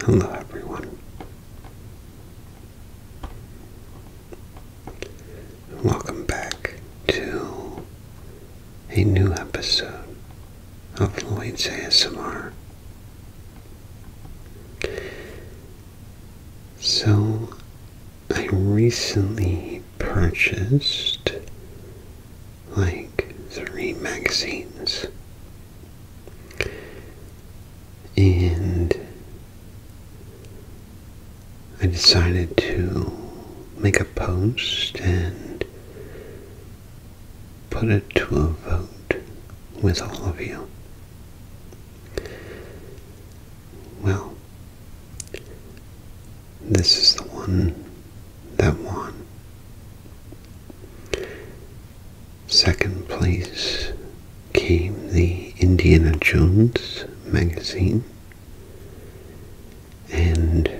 Hello, everyone. Welcome back to a new episode of Lloyd's ASMR. So I recently purchased like three magazines. And I decided to make a post and put it to a vote with all of you. Well, this is the one that won. Second place came the Indiana Jones magazine, and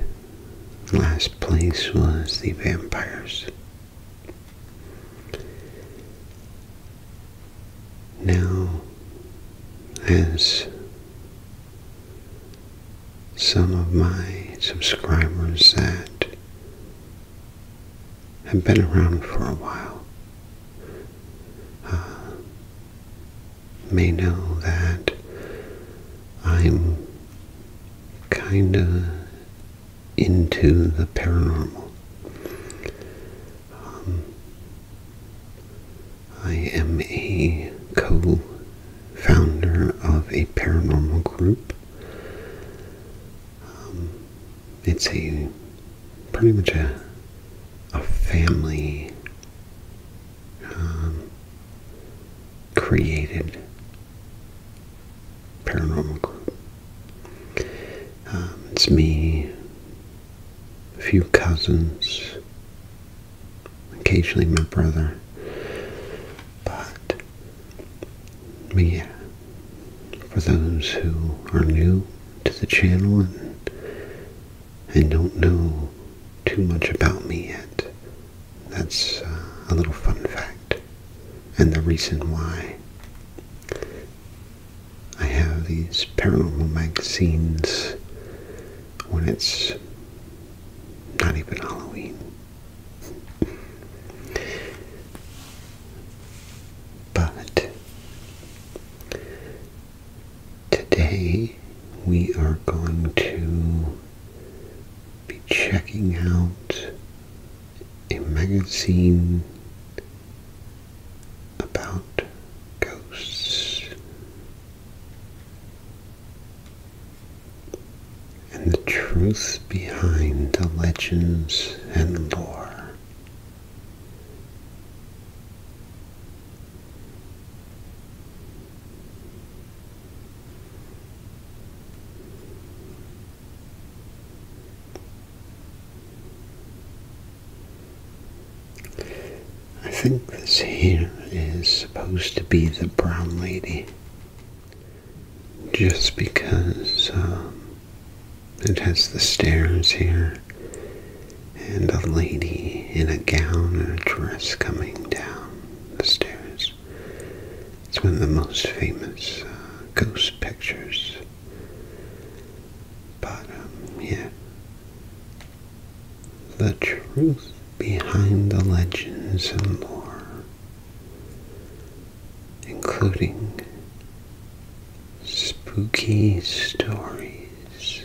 last place was the Vampires. Now, as some of my subscribers that have been around for a while uh, may know that I'm kind of into the paranormal. Um, I am a co founder of a paranormal group. Um, it's a pretty much a, a family um, created paranormal group. it's me, a few cousins, occasionally my brother. But, me. for those who are new to the channel and, don't know too much about me yet, that's uh, a little fun fact and the reason why I have these paranormal magazines when it's not even Halloween. But today we are going to be checking out a magazine about ghosts and the truth behind the legends and lore. I think this here is supposed to be the brown lady. Just because um, it has the stairs here and a lady in a gown and a dress coming down the stairs. It's one of the most famous uh, ghost pictures but um, yeah, the truth behind the legends and lore, including spooky stories,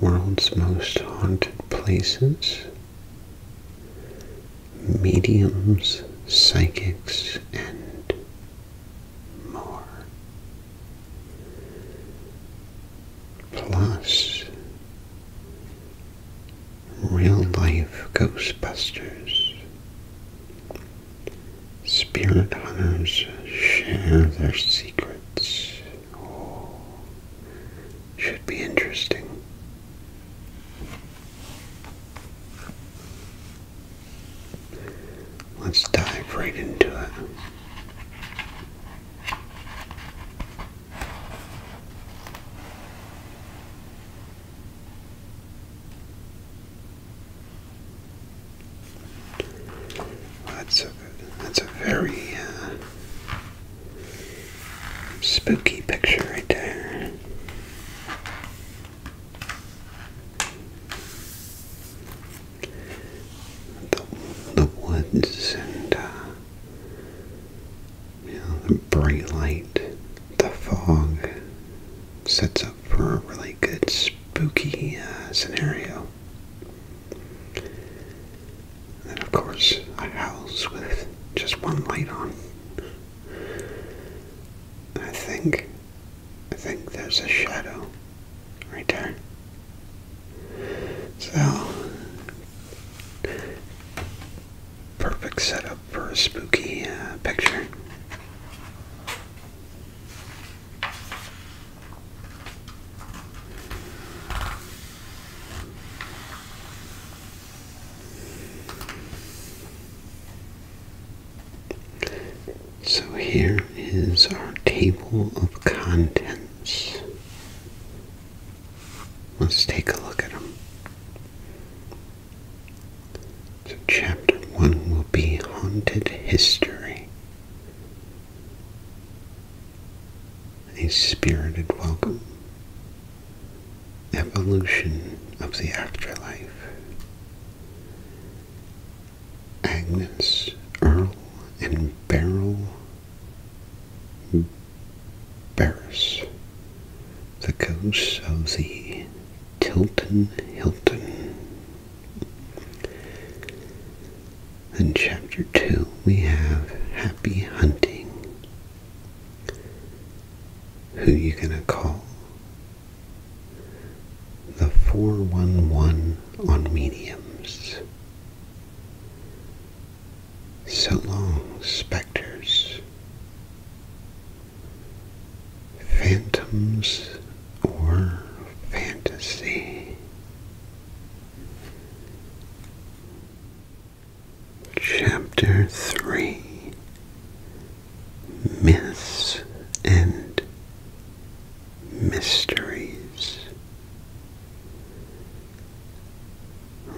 world's most haunted places, mediums, psychics, and more. Plus, real life Ghostbusters. Spirit hunters share their secrets. Oh, should be interesting. Let's dive right into it. That's a that's a very uh, spooky picture right there the, woods and uh, the bright light, the fog sets up for a really good spooky uh, scenario. And of course, a house with just one light on. I think I think there's a shadow right there. So, perfect setup for a spooky uh, picture. So here is our table of contents. Let's take a look at them. So chapter 1 will be Haunted History. A spirited welcome. Evolution of the afterlife. Agnes, Earl, and Beryl Barris, the ghosts of the Tilton Hilton. In chapter two, we have Happy Hunting. Who you gonna call? the 411 on mediums. So long, specters, phantoms or fantasy. Chapter 3 myths and mysteries.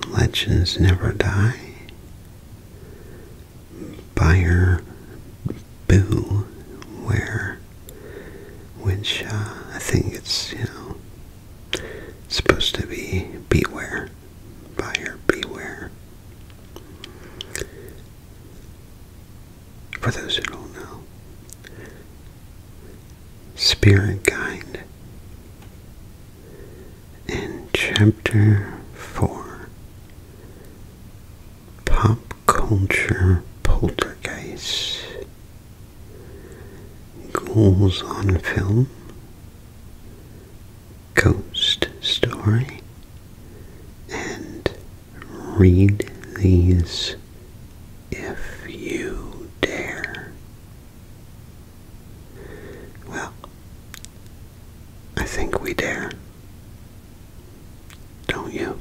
Legends never die. Buyer beware. which I think it's, you know, it's supposed to be beware, buyer beware. For those who don't know, Spirit Guide in Chapter 4 Pop Culture Poltergeist Ghouls on Film Ghost Story and read these if you dare. Well, I think we dare. Don't you?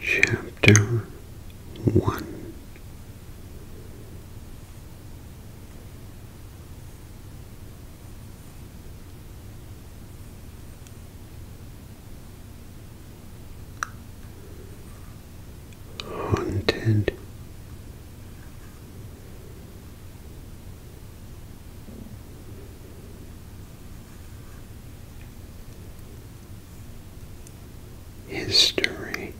Chapter 1 Haunted history.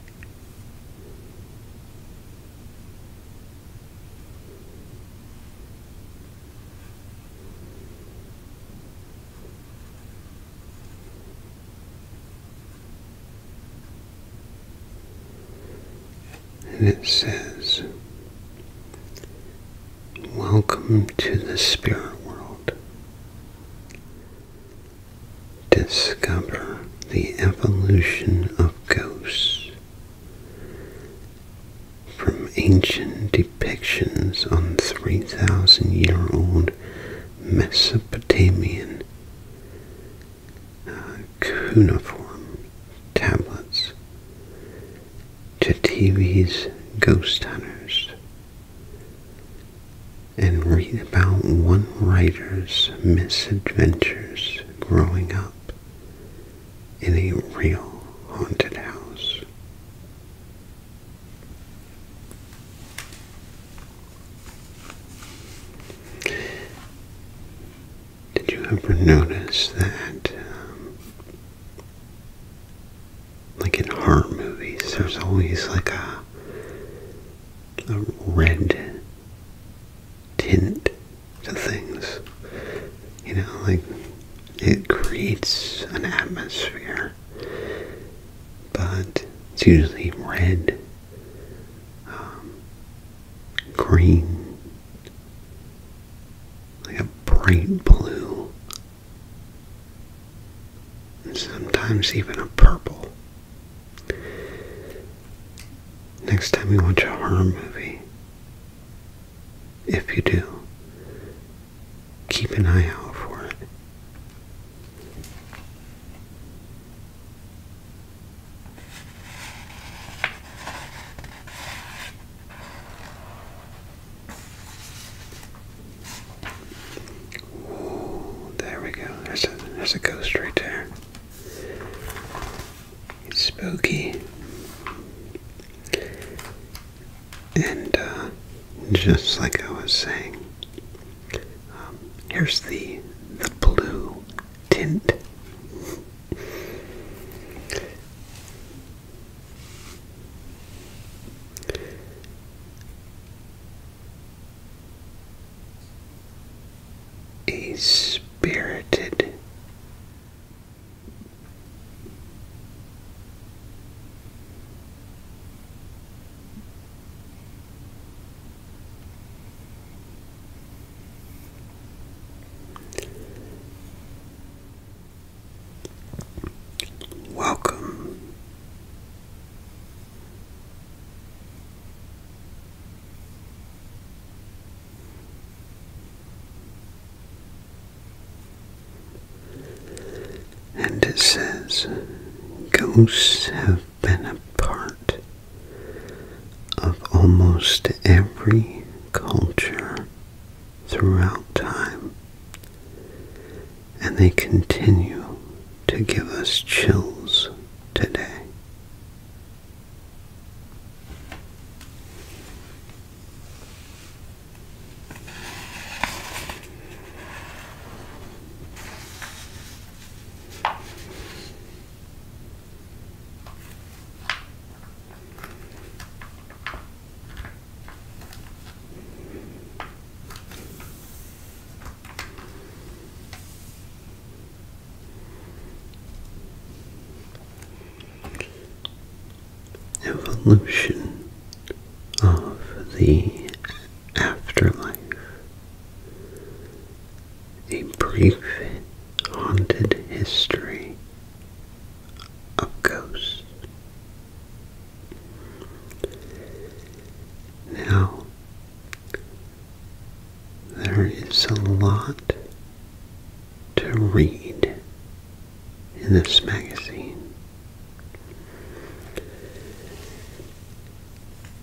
And it says, Welcome to the spirit world discover the evolution of ghosts from ancient depictions on 3,000 year old Mesopotamian uh, cuneiform tablets to TV's Ghost Hunters and read about one writer's misadventures growing up in a real haunted house. Did you ever notice that um, like in horror movies, there's always like a, a red tint to things. You know, like it creates an atmosphere, but it's usually red, um, green, like a bright blue and sometimes even a purple. Next time you watch a horror movie, if you do, keep an eye out for it. Oh, there we go. That's a, that's a ghost right there. spooky. And uh, just like I was saying, um, here's the the blue tint a spirited Welcome and it says, Ghosts have been a part of almost every culture throughout time, and they continue to give us chills today. Evolution of the afterlife. A brief haunted history of ghosts. Now, there is a lot to read in this magazine.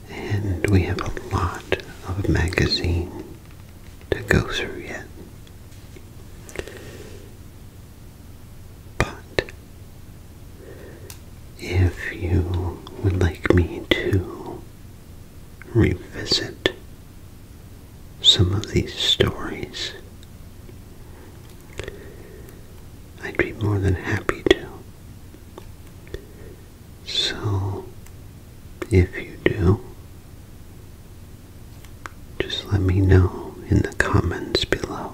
And we have a lot of magazine to go through yet. But if you would like me to revisit some of these stories, I'd be more than happy to. So, if you do, just let me know in the comments below.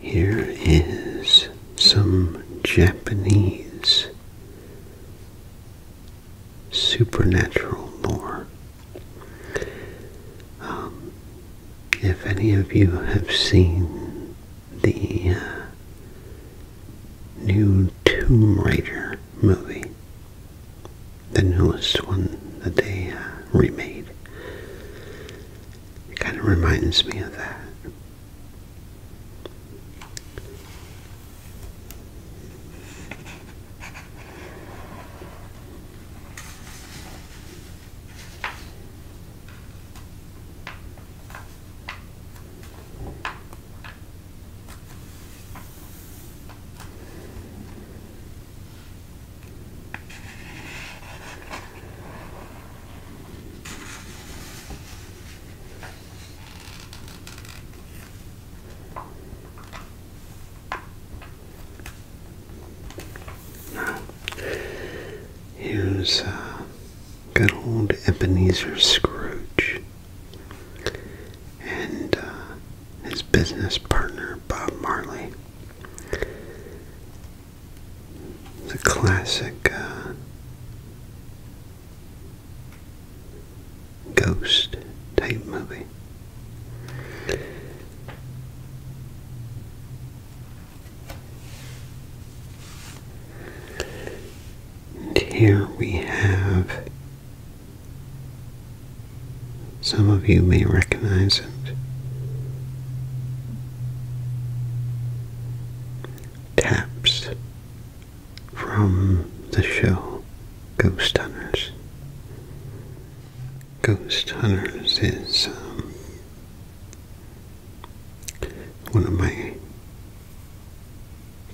Here is some Japanese supernatural lore. Um, if any of you have seen the uh, new Tomb Raider movie, the newest one that they uh, remade. It kind of reminds me of that here's uh, good old Ebenezer Scrooge and uh, his business partner Bob Marley. The classic uh, ghost type movie. And here we have some of you may recognize it. Taps from the show Ghost Hunters. Ghost Hunters is um, one of my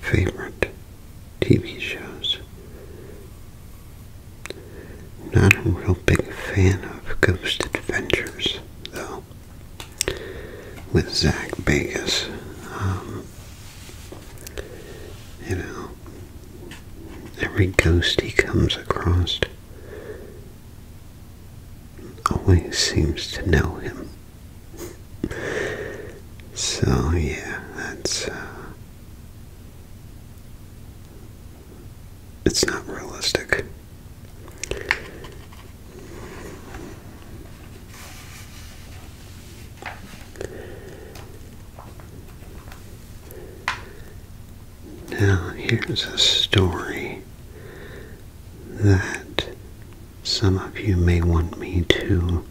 favorite TV shows. Not a real big fan of Ghost Adventures, though, with Zach Vegas. Um, you know, every ghost he comes across always seems to know him so yeah, that's uh, it's not realistic. Now, here's a story that some of you may want me to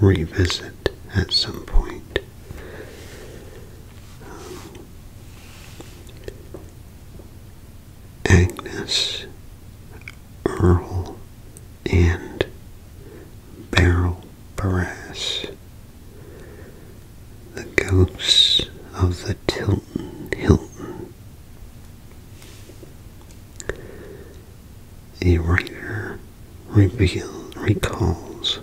revisit at some point. Um, Agnes, Earl, and Beryl Barras, the ghosts of the Tilton Hilton. A writer reveals, recalls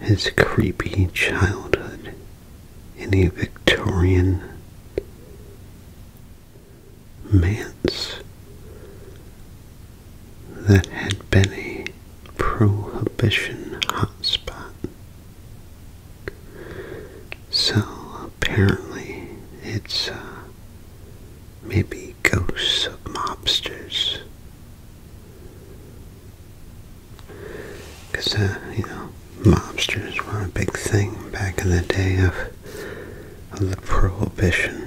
his creepy childhood in a Victorian manse that had been a prohibition hotspot. So apparently it's uh, Maybe ghosts of mobsters. Because, uh, you know, mobsters were a big thing back in the day of, of the Prohibition.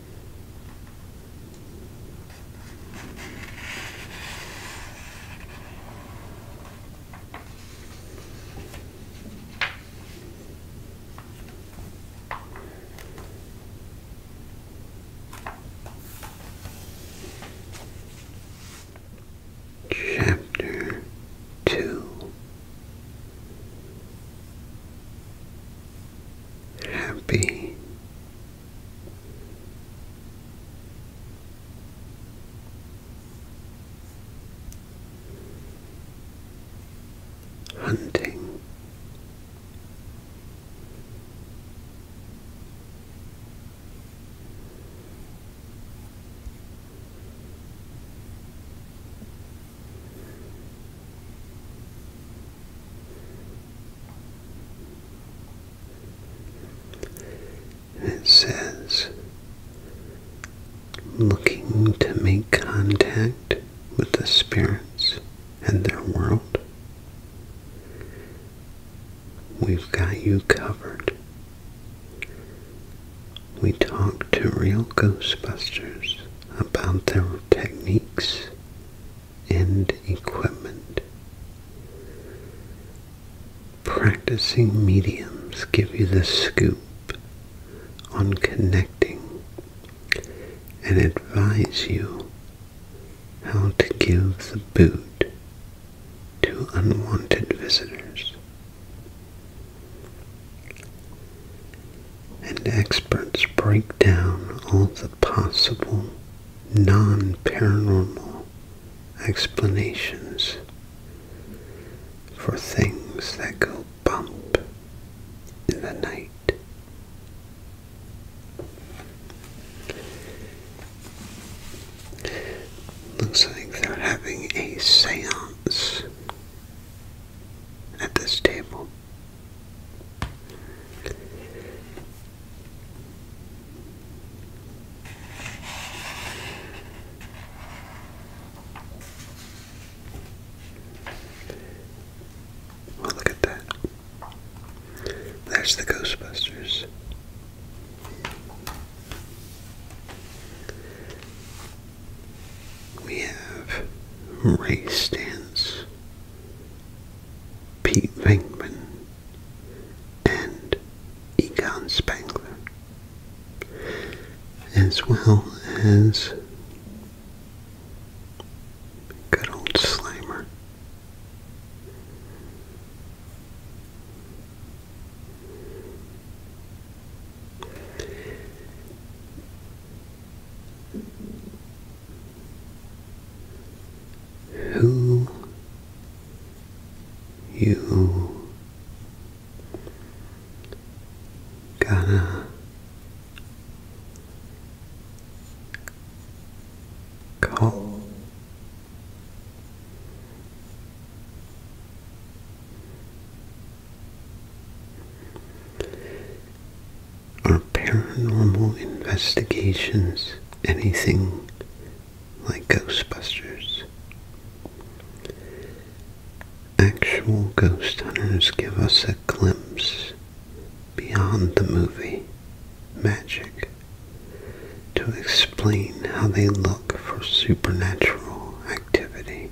Chapter Two happy. Hunting and it says, looking to make contact with the spirits and their world. We've got you covered. We talk to real Ghostbusters about their techniques and equipment. Practicing mediums give you the scoop on connecting and advise you how to give the boot to unwanted visitors and experts break down all the possible non-paranormal explanations for things that go bump in the night. Looks like they're having a seance at this table. Well, look at that. There's the Ghostbusters. We have race stands Pete Venkman, and Egon Spangler, as well as good old Slimer who you gonna call are paranormal investigations anything like Ghostbusters? Actual ghost hunters give us a glimpse beyond the movie magic to explain how they look for supernatural activity.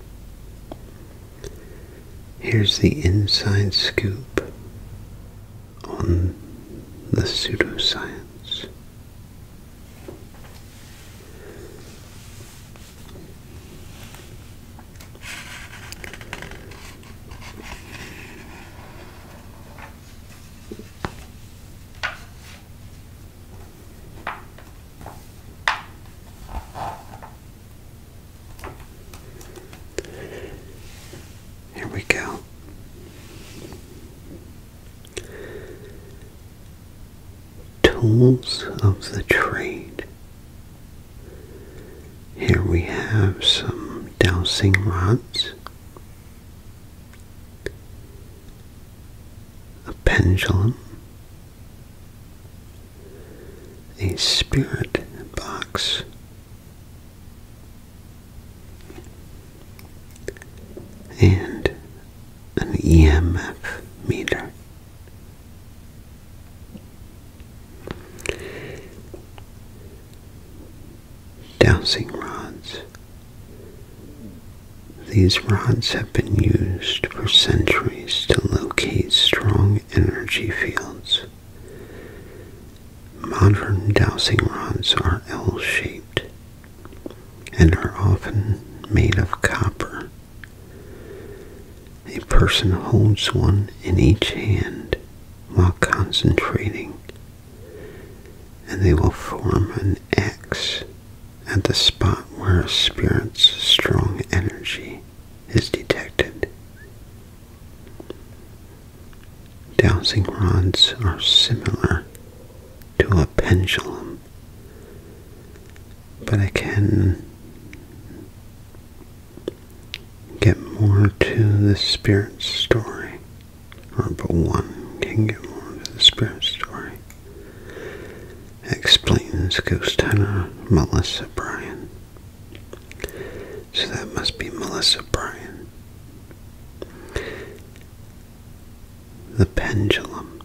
Here's the inside scoop on the pseudoscience. Here we go. Tools of the trade. Here we have some dowsing rods, a pendulum, a spirit box and an EMF meter. Dowsing rods. These rods have been used for centuries to locate strong energy fields Modern dowsing rods are L-shaped and are often made of copper. A person holds one in each hand while concentrating, and they will form an X at the spot where a spirit's strong energy is detected. Dowsing rods are similar to a pendulum, but I can get more to the spirit story, or but one can get more to the spirit story. Explains ghost hunter Melissa Bryan. So that must be Melissa Bryan. The pendulum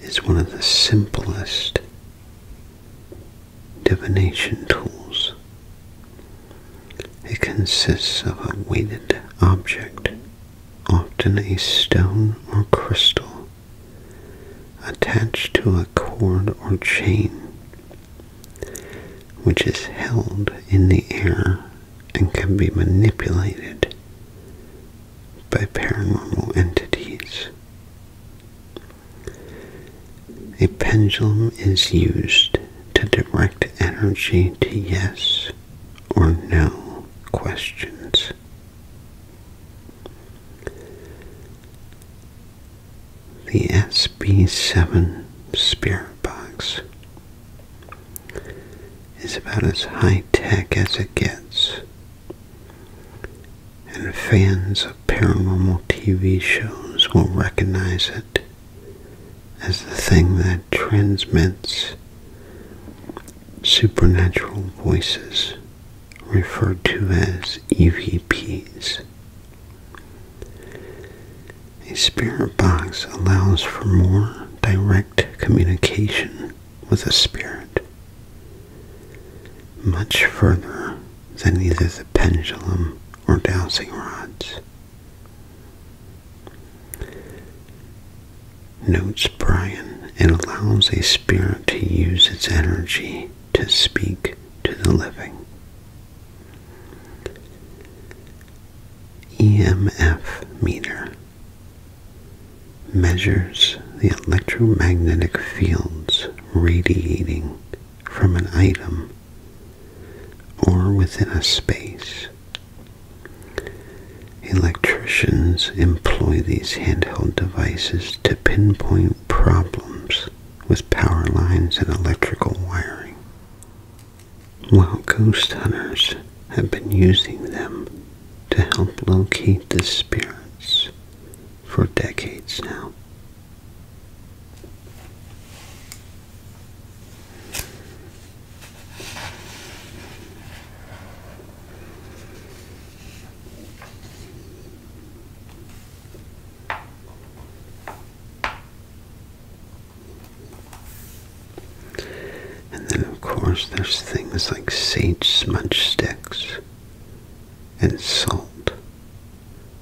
is one of the simplest divination tools. It consists of a weighted object, often a stone or crystal, attached to a cord or chain, which is held in the air and can be manipulated by paranormal entities. A pendulum is used to direct energy to yes or no questions the SB7 spirit box is about as high-tech as it gets and fans of paranormal TV shows will recognize it as the thing that transmits supernatural voices referred to as EVPs a spirit box allows for more direct communication with a spirit, much further than either the pendulum or dowsing rods. Notes Brian, it allows a spirit to use its energy to speak to the living. EMF meter measures the electromagnetic fields radiating from an item or within a space. Electricians employ these handheld devices to pinpoint problems with power lines and electrical wiring. While ghost hunters have been using them to help locate the spirits for decades now. And then, of course, there's things like sage smudge sticks and salt,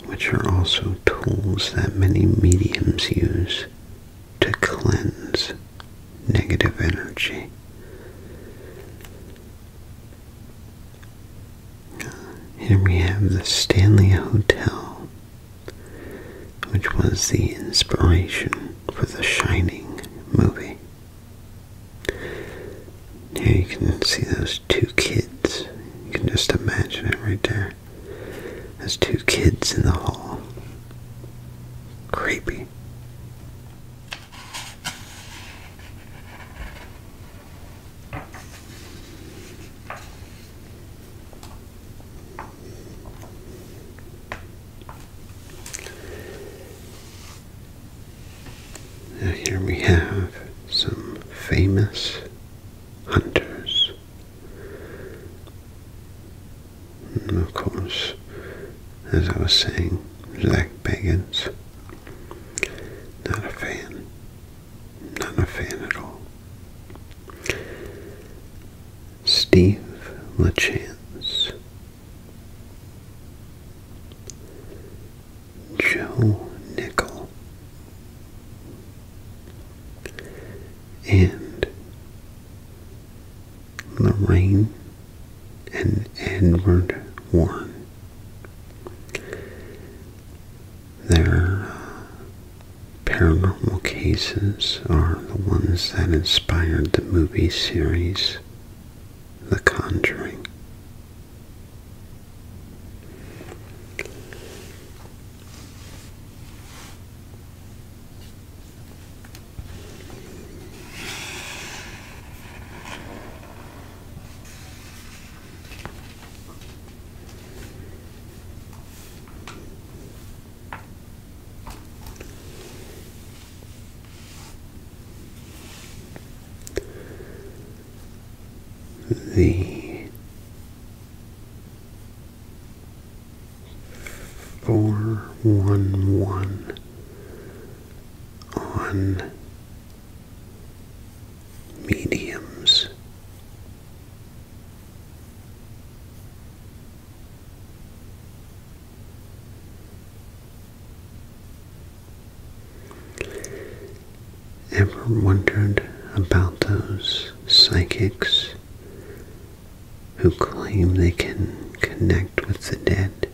which are also tools that many mediums use to cleanse negative energy. Here we have the Stanley Hotel, which was the inspiration for the Shining movie. Here you can see those two kids. You can just imagine it right there. Those two kids in the hall. Creepy here we have some famous hunters. And of course, as I was saying, black baggers. Not a fan not a fan at all. Steve LaChance. Joe Nickel. And Lorraine and Edward Warren. They're uh, Paranormal cases are the ones that inspired the movie series The Conjuring. The four one one on mediums Ever wondered about those psychics who claim they can connect with the dead?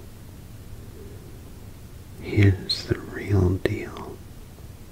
Here's the real deal.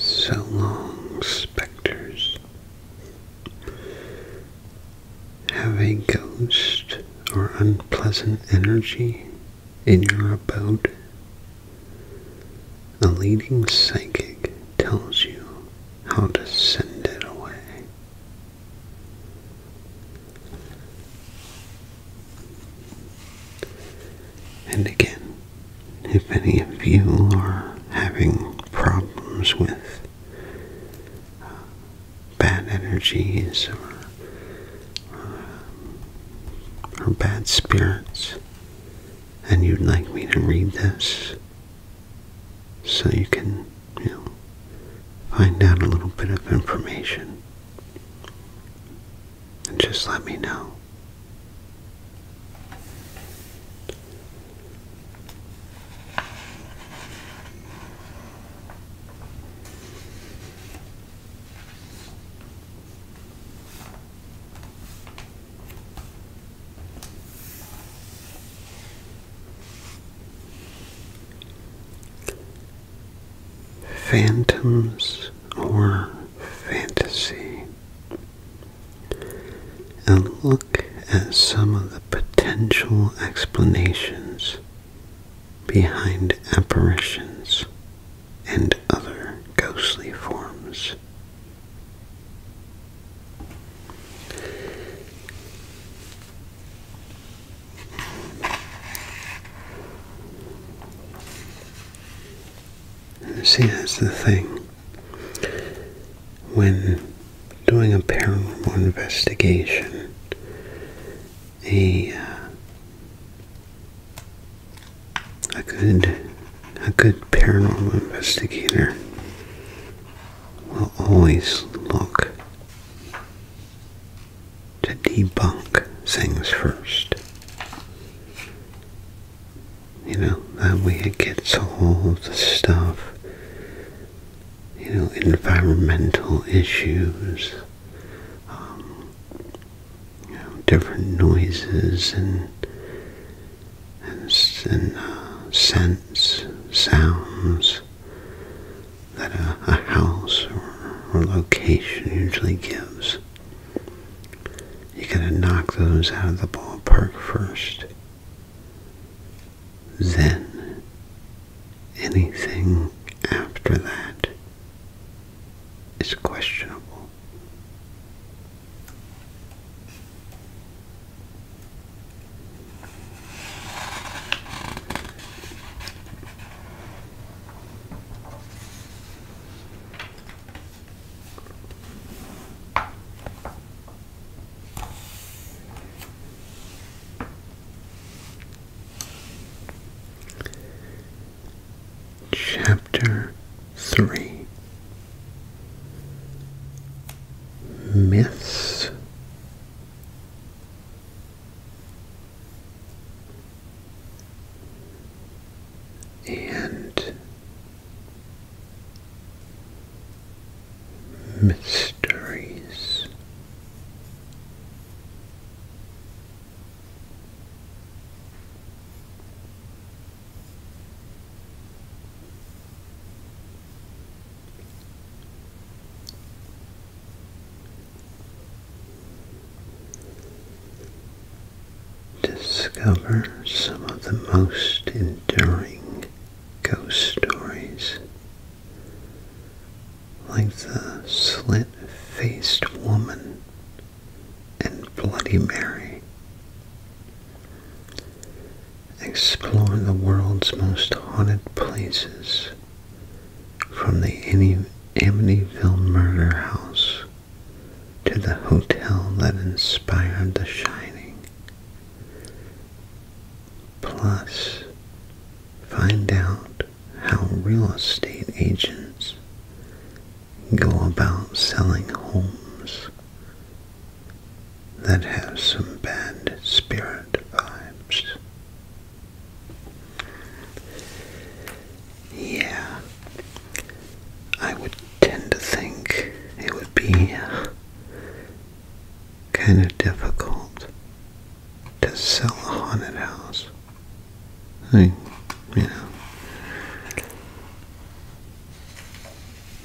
So long, specters. Have a ghost or unpleasant energy in your abode. A leading psychic tells you how to send it away. And again, if any of you are having problems with uh, bad energies uh, or, bad spirits, and you'd like me to read this so you can, find out a little bit of information, and just let me know. Phantoms or fantasy, and look at some of the potential explanations behind apparitions and other ghostly forms. see, that's the thing. When doing a paranormal investigation, a uh, a good a good paranormal investigator will always look to debunk things first. You know, that way it gets all the stuff, you know, environmental issues, um, different noises and and, uh, scents, sounds that a, house or, or location usually gives. You gotta knock those out of the ballpark first. Then anything after that it's questionable. Chapter 3 Myths and Mysteries. Discover some of the most enduring ghost stories like the slit-faced woman and Bloody Mary. Explore the world's most haunted places from the Amityville murder house to the hotel that inspired The Shining. Plus, find out how real estate agents go about selling homes that have some bad spirit vibes. Yeah, I would tend to think it would be kind of difficult to sell a haunted house. I you know,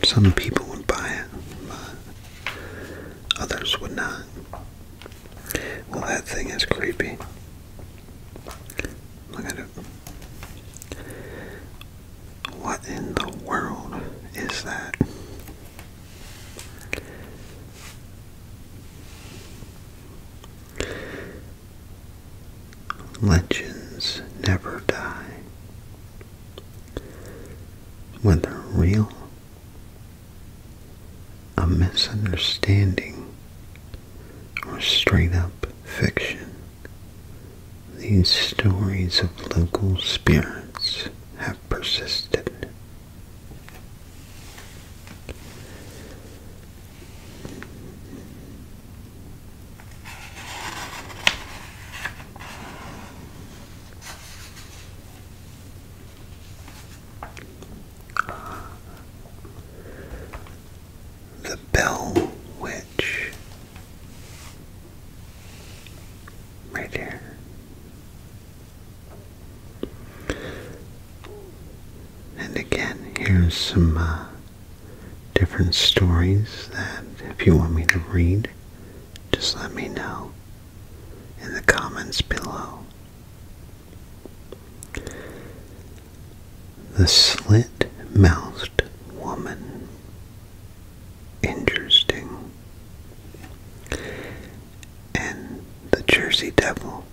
some people would buy it, but others would not. Well, that thing is creepy. Look at it. What in the world is that? Legends never die. Whether real, a misunderstanding, or straight up fiction, these stories of local spirits have persisted the Bell Witch, right here. And again, here's some uh, different stories that if you want me to read, just let me know in the comments below. The Slit-Mouthed Woman Interesting and the Jersey Devil.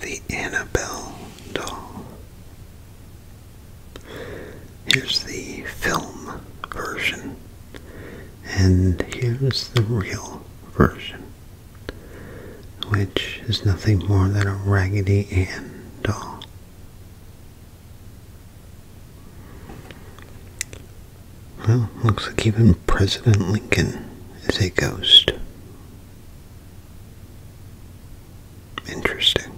The Annabelle doll. Here's the film version. And here's the real version, which is nothing more than a Raggedy Ann doll. Well, looks like even President Lincoln is a ghost. Interesting.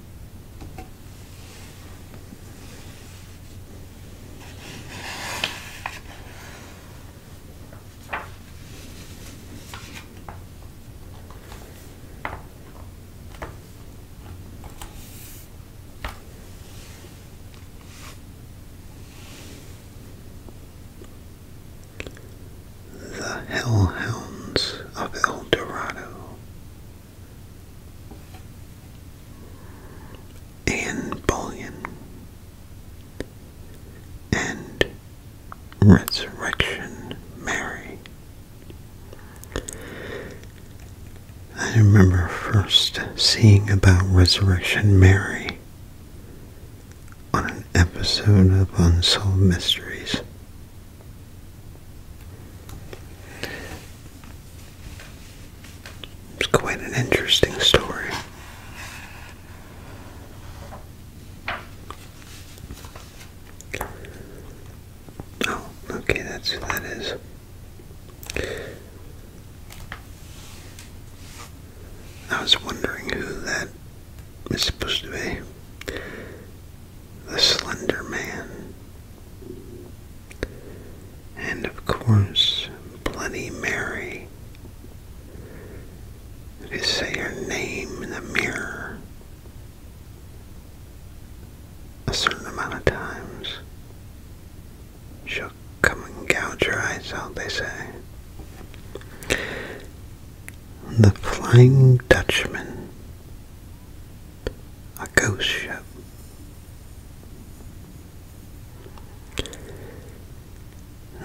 The Hellhounds of El Dorado Anne Bullion, and Resurrection Mary. I remember first seeing about Resurrection Mary on an episode of Unsolved Mysteries. It's quite an interesting story. Oh, okay, that's who that is. I was wondering who that is supposed to be. The Slender Man. And of course, Bloody Mary. They say your name in the mirror a certain amount of times. She'll come and gouge your eyes out, they say. The Flying Dutchman. A ghost ship.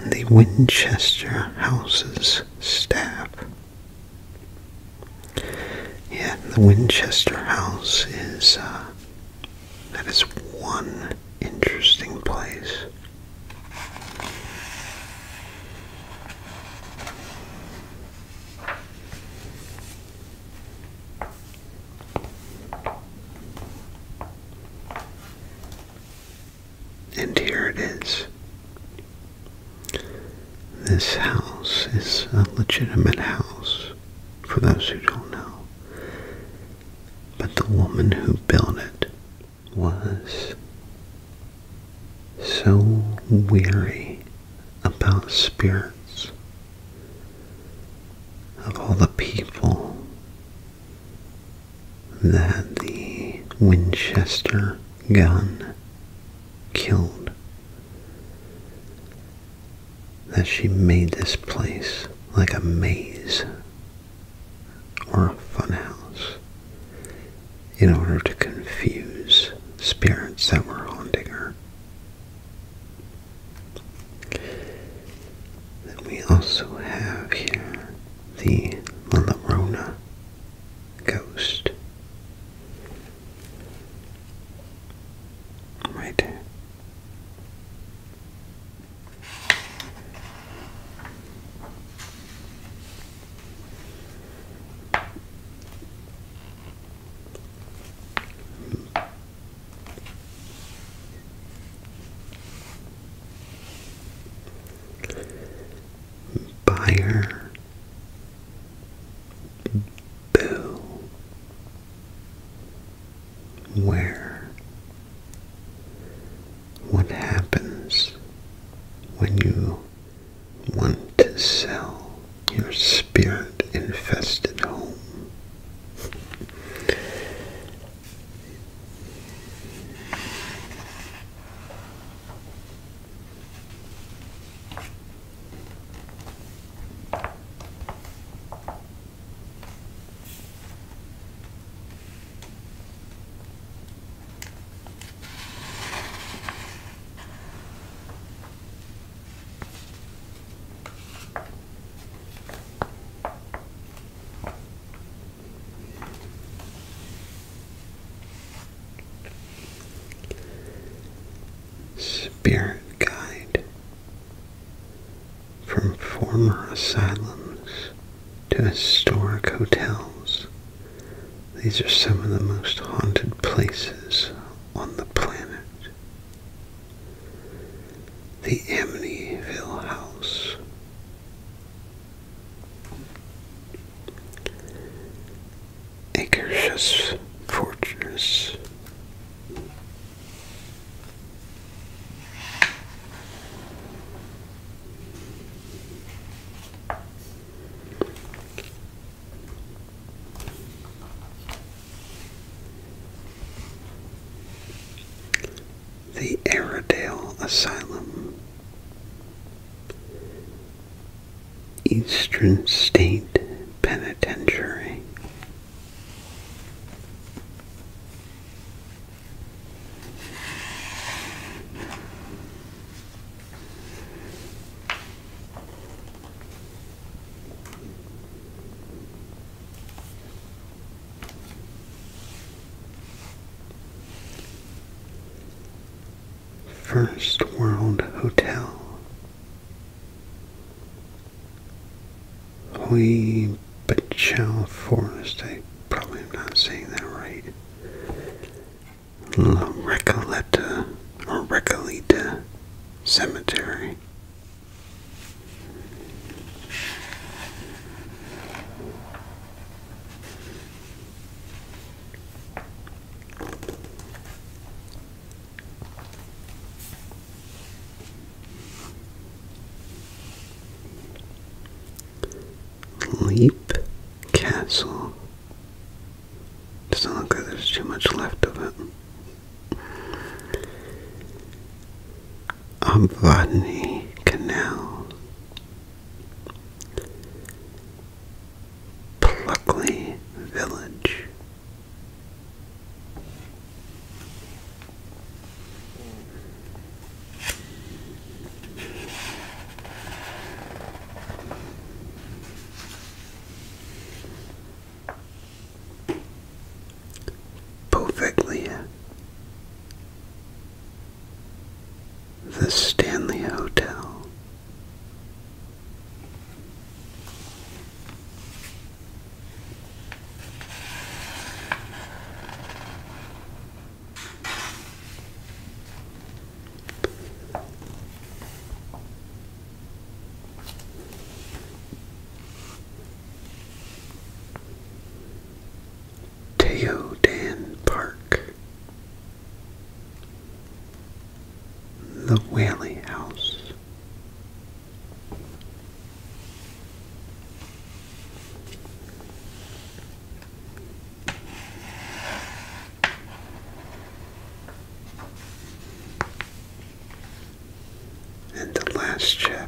The Winchester House's staff. Yeah, the Winchester House is, uh, that is one interesting place. And here it is. This house is a legitimate house, for those who don't know. But the woman who built it was so weary about spirits of all the people that the Winchester gun killed, that she made this place like a maze or a funhouse in order to confuse spirits that were haunting her we also have here the La Llorona ghost. Right Buyer Boo Where What happens when you want to sell your spirit infested home. Spirit guide from former asylums to historic hotels. These are some of the most haunted places on the planet the Amityville House. Akershus Fortress. The Airedale Asylum, Eastern State Penitentiary. First World Hotel Hui Bachow Forest. I probably am not saying that right. La Recoleta or Recoleta Cemetery. Leap Castle. Doesn't look like there's too much left of it of Botany Canal, Pluckley Village. Perfectly. The Stanley Hotel. Teodan Park, The Whaley House, and the last chapter.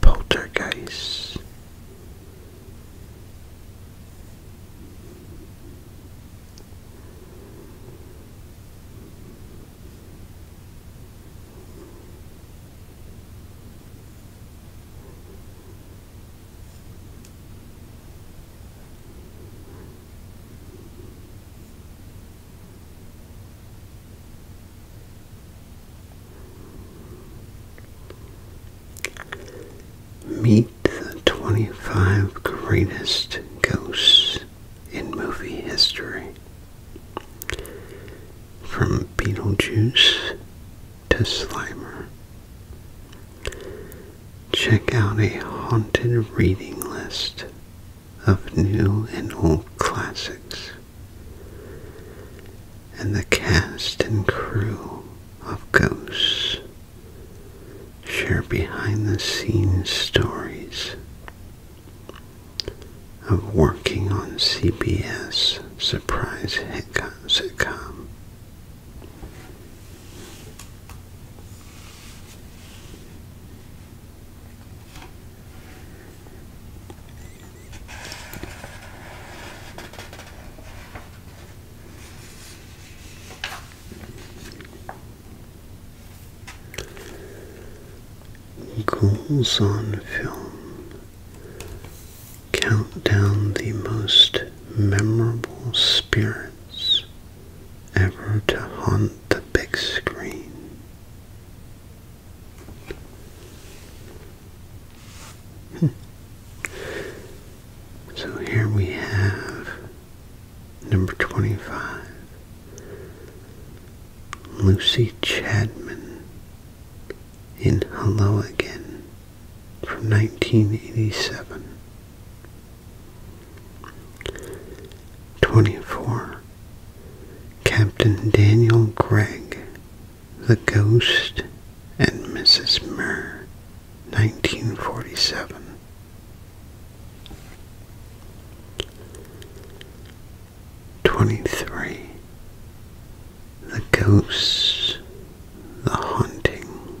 Poltergeist. Meet the 25 greatest ghosts in movie history. From Beetlejuice to Slimer. Check out a haunted reading list of new and old classics. And the cast and crew of Ghosts share behind the scenes stories of working on CBS Surprise Hiccup sitcom Goals on film Count down the most memorable spirits ever to haunt the big screen. Hmm. so here we have number 25, Lucy Chadman in Hello Again from 1987. 24. Captain Daniel Gregg, The Ghost and Mrs. Murr, 1947. 23. The Ghosts, The Haunting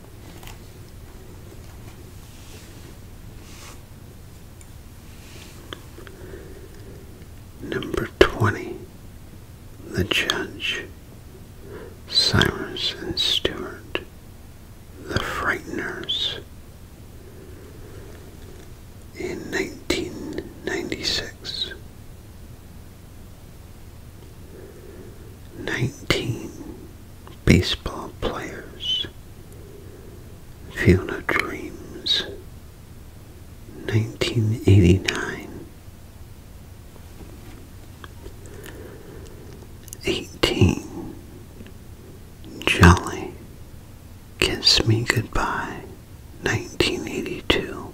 Number 20. The Judge. Cyrus and Stewart. The Frighteners. In 1996, Nineteen baseball players. Fiona Dreams. 1989. 18. Jolly. Kiss Me Goodbye. 1982.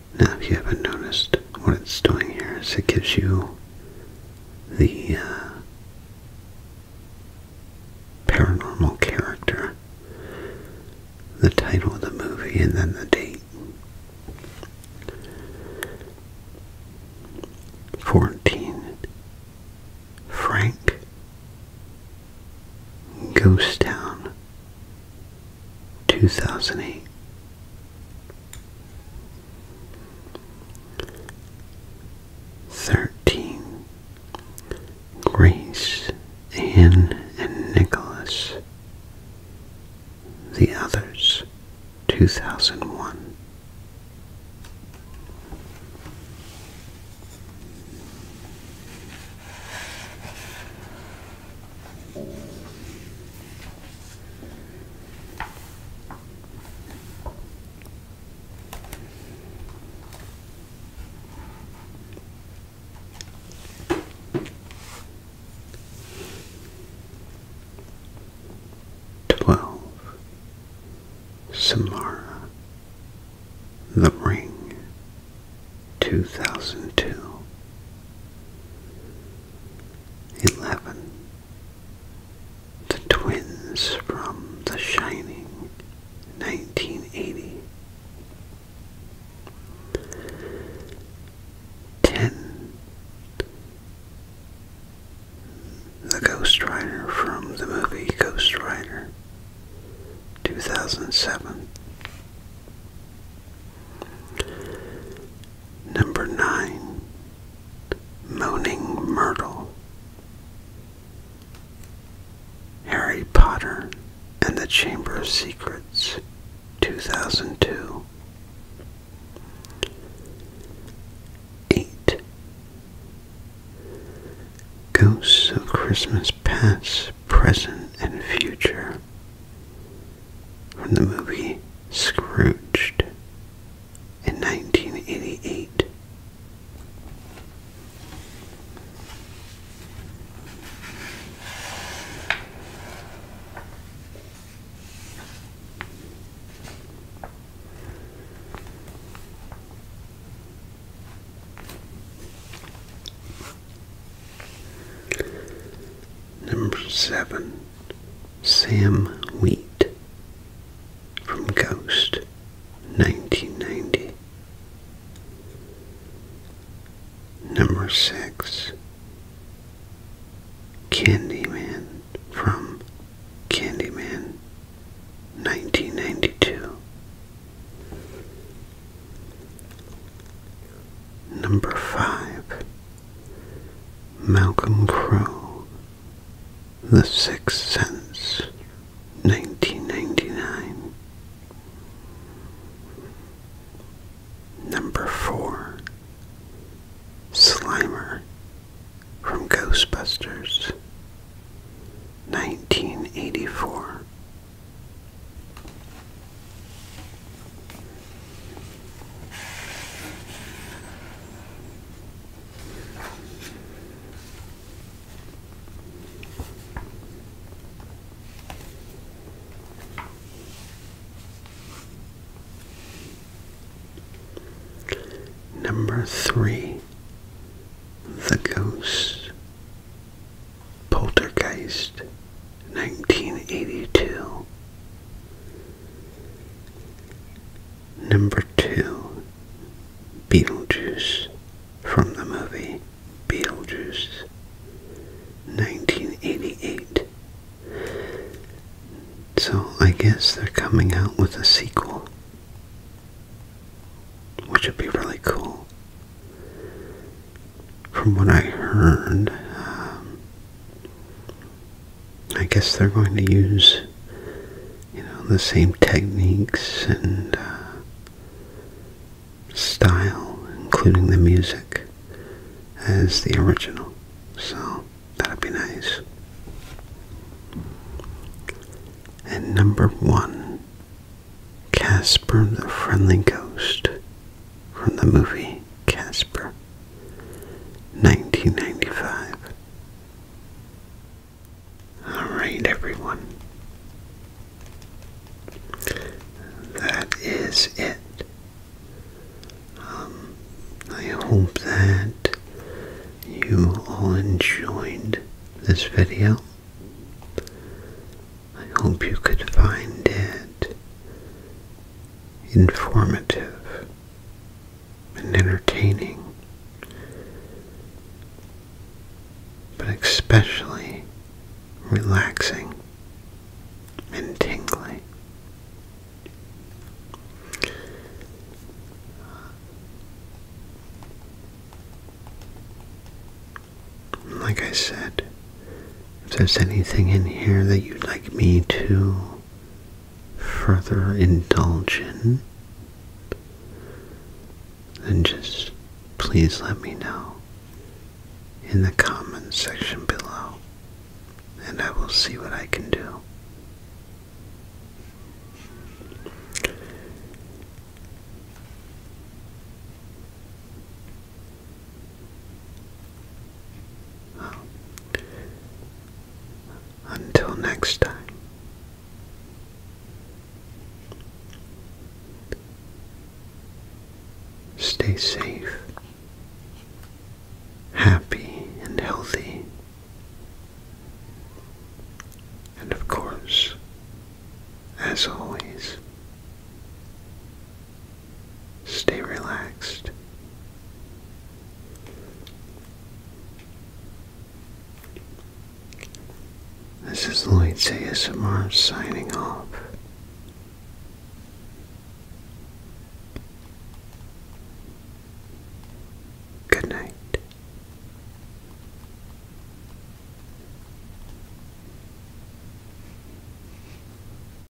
Now, if you haven't noticed, what it's doing here is it gives you the uh, paranormal character, the title of the movie, and then the date. 14. Frank Ghost Town 2008. Thirteen Grace, Anne, and Nicholas. The Others, 2001. Twelve Samara the Ring 2002 11 The Twins from The Shining 1980 10 The Ghost Rider from the movie Ghost Rider 2007 Number nine, Moaning Myrtle. Harry Potter and the Chamber of Secrets, 2002. 8. Ghosts of Christmas Past, Present, and Future, from the movie Scrooged in 1988. Number seven, Sam Wheat from Ghost, 1990. Number six, Candyman from Candyman, 1992. Number five, Malcolm Crowe, The Sixth Sense, 1999. Number 4. Slimer from Ghostbusters, 1984. Number three, the ghost, poltergeist, 1982. Number 2. Beetlejuice from the movie Beetlejuice 1988. So I guess they're coming out with a sequel. Which would be really cool from what I heard, um, I guess they're going to use, you know, the same techniques and uh, style, including the music, as the original. So that'd be nice. And number one, Casper the Friendly Ghost from the movie Casper, 1995. Alright, everyone. That is it. Um, I hope that you all enjoyed this video. I hope you could find it informative, and entertaining, but especially relaxing and tingling. Like I said, if there's anything in here that you'd like me to further indulge in, then just please let me know in the comments section below, and I will see what I can do. Until next time, stay safe, happy, and healthy, and of course, as always, Stay relaxed. This is Lloyd ASMR signing off. Good night.